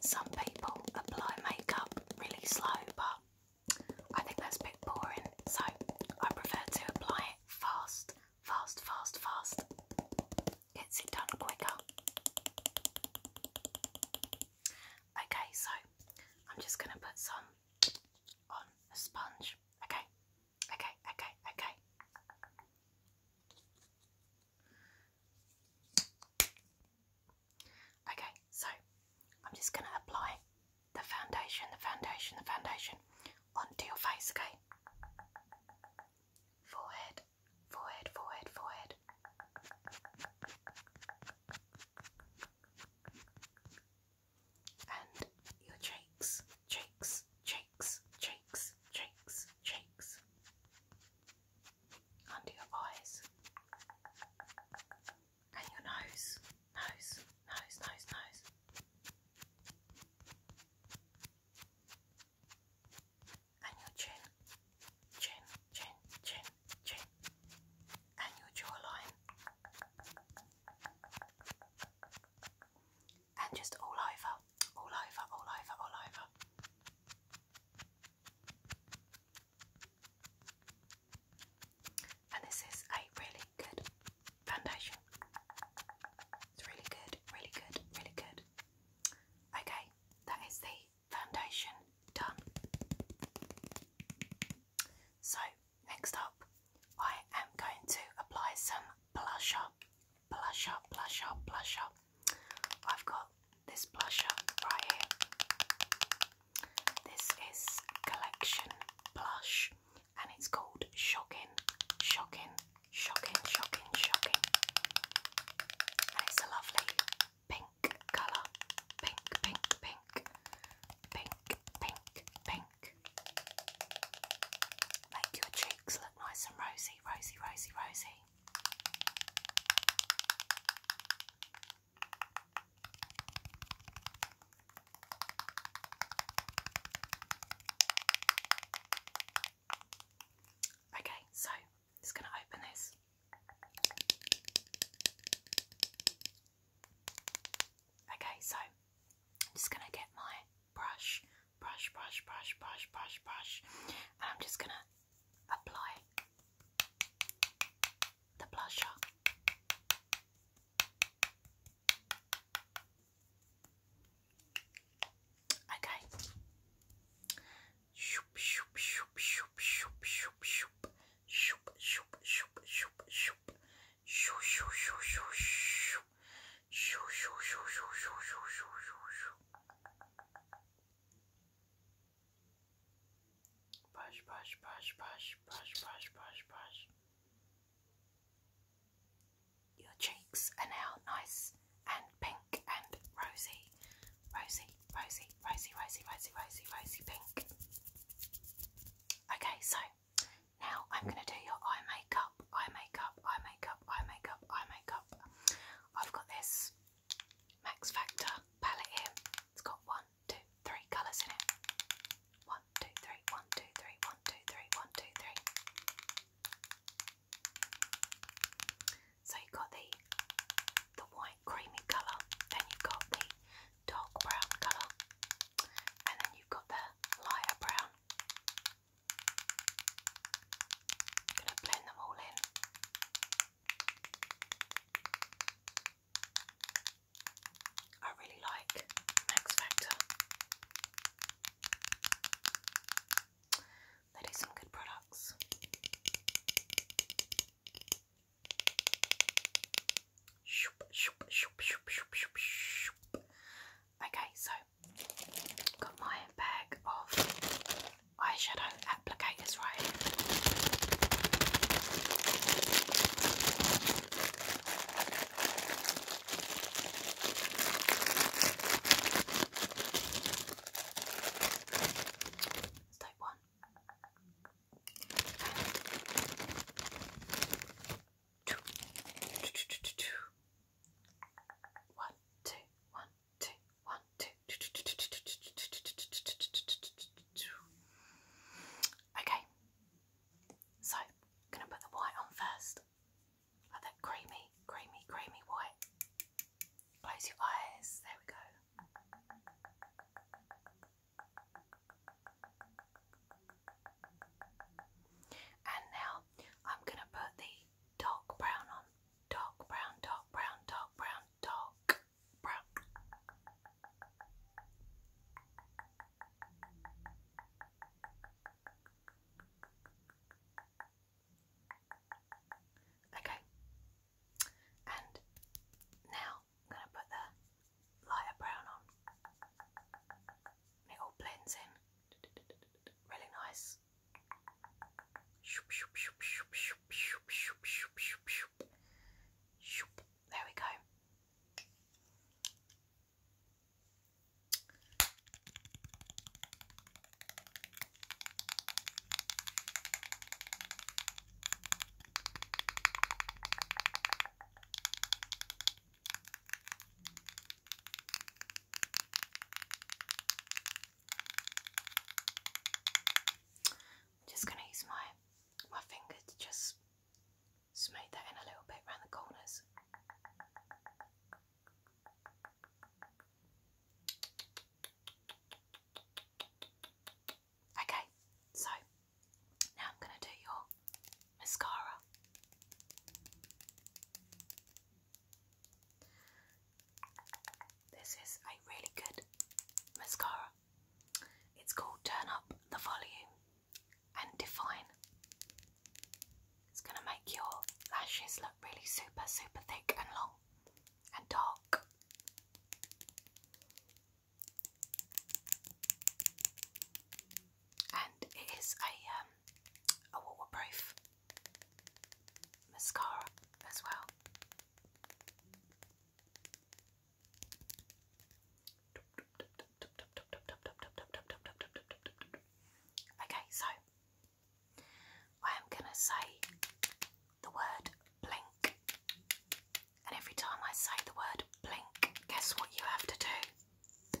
Some people apply makeup really slow, but I think that's a bit boring, so I prefer to apply it fast, fast, fast, fast. Gets it done quicker. Okay, so I'm just going to put some on a sponge. Okay, Okay, okay, okay. Okay, so I'm just going to apply the foundation, the foundation, the foundation onto your face, okay? Forehead, forehead, forehead, forehead and your cheeks, cheeks, cheeks, cheeks, cheeks, cheeks, under your eyes, and your nose, nose, nose, nose, nose. And your chin, chin, chin, chin, chin, and your jawline, and just all over, all over, all over, all over. And this is a really good foundation. It's really good, really good, really good. Okay, that is the foundation done. So next up, I am going to apply some blusher, blusher, blusher, blusher. I've got this blusher right here. This is Collection Blush and it's called Shocking, Shocking, Shocking, Shocking, Shocking. it's a lovely pink colour. Pink, pink, pink, pink, pink, pink. Make your cheeks look nice and rosy, rosy, rosy, rosy. Okay, so just going to open this. Okay, so I'm just going to get my brush, brush, brush, brush, brush, brush, brush, and I'm just gonna apply the blusher. Okay. Shoop, shoop, shoop, shoop, shoop, shoop, shoop, shoop, shoop, shoop, shoop, shoop, Shoo, shoo, shoo, shoo, shoo. Shoo, shoo, shoo, shoo, shoo, shoo, shoo, shoo. Brush, brush, brush, brush, brush, brush, brush, brush. Your cheeks are now nice and pink and rosy. Rosy, rosy, rosy, rosy, rosy, rosy, rosy, rosy pink. Okay, so now I'm going to do your eye makeup, eye makeup, eye makeup, eye makeup, eye makeup. I've got this Max Factor palette here. It's got one, two, three colours in it. One, two, three, one, two, three, one, two, three, one, two, three. So you've got the the white creamy colour, then you've got the dark brown colour, and then you've got the lighter brown. I'm going to blend them all in. I really like Max Factor. They do some good products. Shoop, shoop, shoop, shoop, shoop, shoop, shoop. Okay, so got my bag of eyeshadow applicators right here. one two, one, two, one, two, one, two. Okay, so gonna put the white on first, like that creamy, creamy, creamy white. Close your eyes. There we go. And now I'm going to put the dark brown on. Dark brown, dark brown, dark brown, dark brown. Okay, and now I'm going to put the lighter brown on. It all blends in. Really nice. There we go. I'm just going to use my my finger to just smooth that in a little bit around the corners. Okay, so now I'm going to do your mascara. This is a really good mascara. It's called Turn Up the Volume and Define. It's going to make your lashes look really super, super thick and long and dark and it is a um a waterproof mascara as well. Okay, so I am going to say the word blink, and every time I say the word blink, guess what you have to do?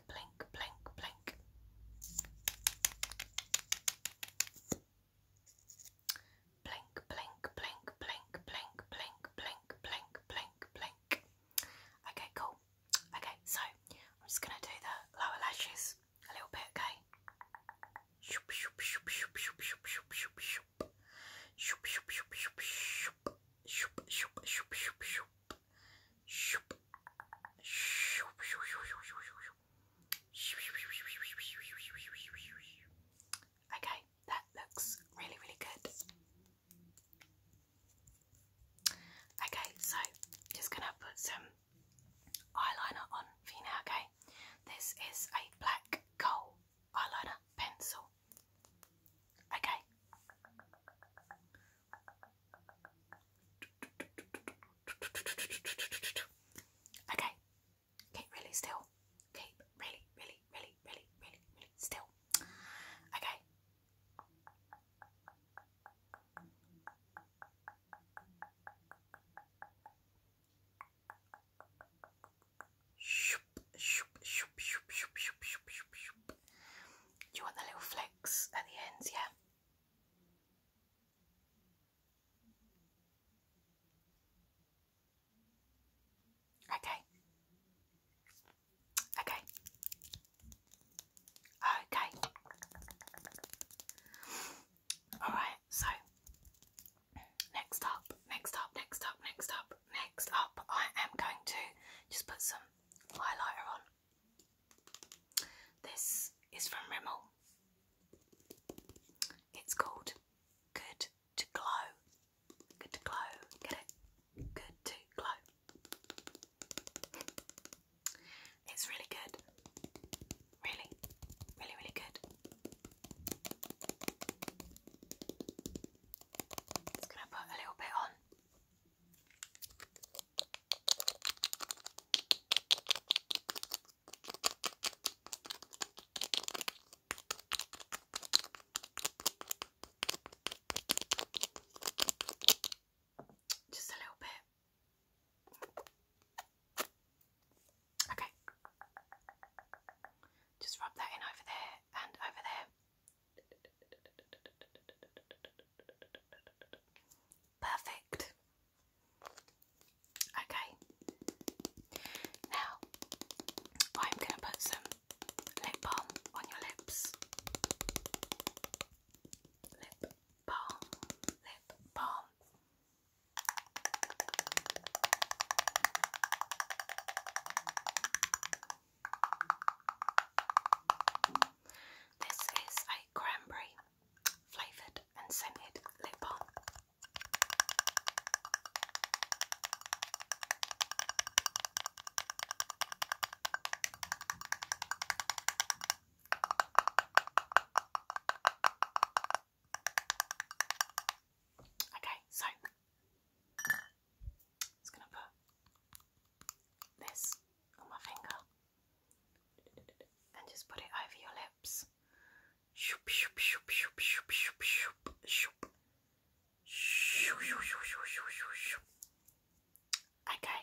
blink, blink, blink. Blink, blink, blink, blink, blink, blink, blink, blink, Okay, cool. Okay, so I'm just gonna do the lower lashes a little bit, okay? Okay, that looks really, really good. Okay, so just gonna put some eyeliner on for you now, okay? This is a black coal eyeliner pencil. Okay. Okay, keep really still. Keep really, really, really, really, really, really still. Okay. Shoop, shoop, shoop, shoop, shoop, shoop, shoop, shoop. You want the little flecks at the ends, yeah? Okay. Okay. Okay. Alright, so next up, next up, next up, next up, next up, I am going to just put some highlighter on. This is from Rimmel. It's called Good to Glow. Good to Glow. Get it? Good to Glow. It's really good. Really, really, really good. Just gonna put a little bit on. Just a little bit. Okay. Just rub that in over there and over there. Perfect. Okay. Now I'm going to put some lip balm on your lips. Lip balm, lip balm. This is a cranberry flavoured and scented lip balm. Okay, so it's going to put this on my finger and just put it over your lips. Okay.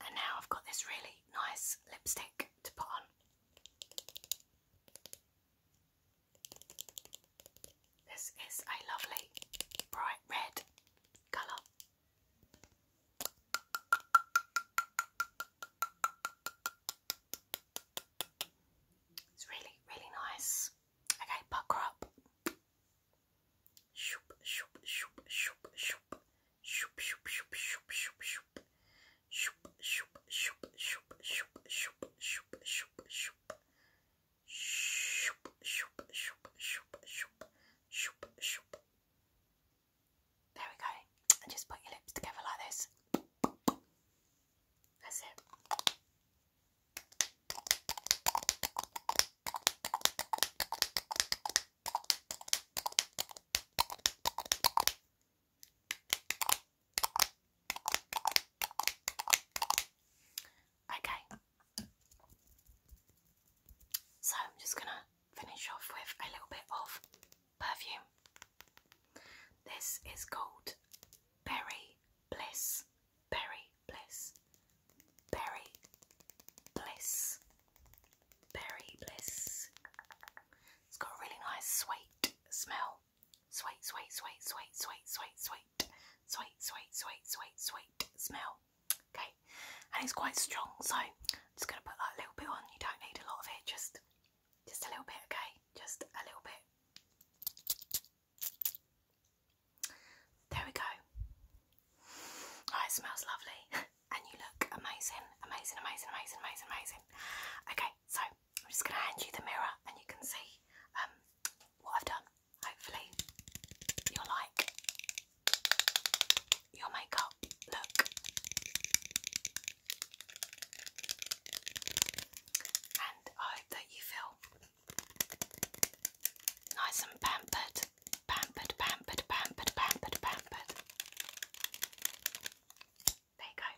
And now I've got this really nice lipstick to put on. This is a lovely bright red colour. It's really, really nice. Okay, pucker up. Shoop, shoop, shoop, shoop, shoop, shoop, shoop, shoop, shoop. Shoop, shoop, shoop, shoop, shoop, There we go. And just put your lips together like this. That's it. Okay. So I'm just going to finish off with a little bit of perfume. This is called Berry Bliss. Berry Bliss. Berry Bliss. Berry Bliss. It's got a really nice sweet smell. Sweet, sweet, sweet, sweet, sweet, sweet, sweet, sweet, sweet, sweet, sweet, sweet smell. Okay, and it's quite strong, so I'm just gonna put that little bit on. You don't need a lot of it, just just a little bit, okay? Just a little bit. There we go. Oh, it smells lovely, and you look amazing, amazing, amazing, amazing, amazing, amazing. Okay, so I'm just going to hand you the mirror and you can see um, what I've done. Hopefully, you like your makeup look. And I hope that you feel nice and pampered, pampered, pampered, pampered, pampered, pampered. There you go.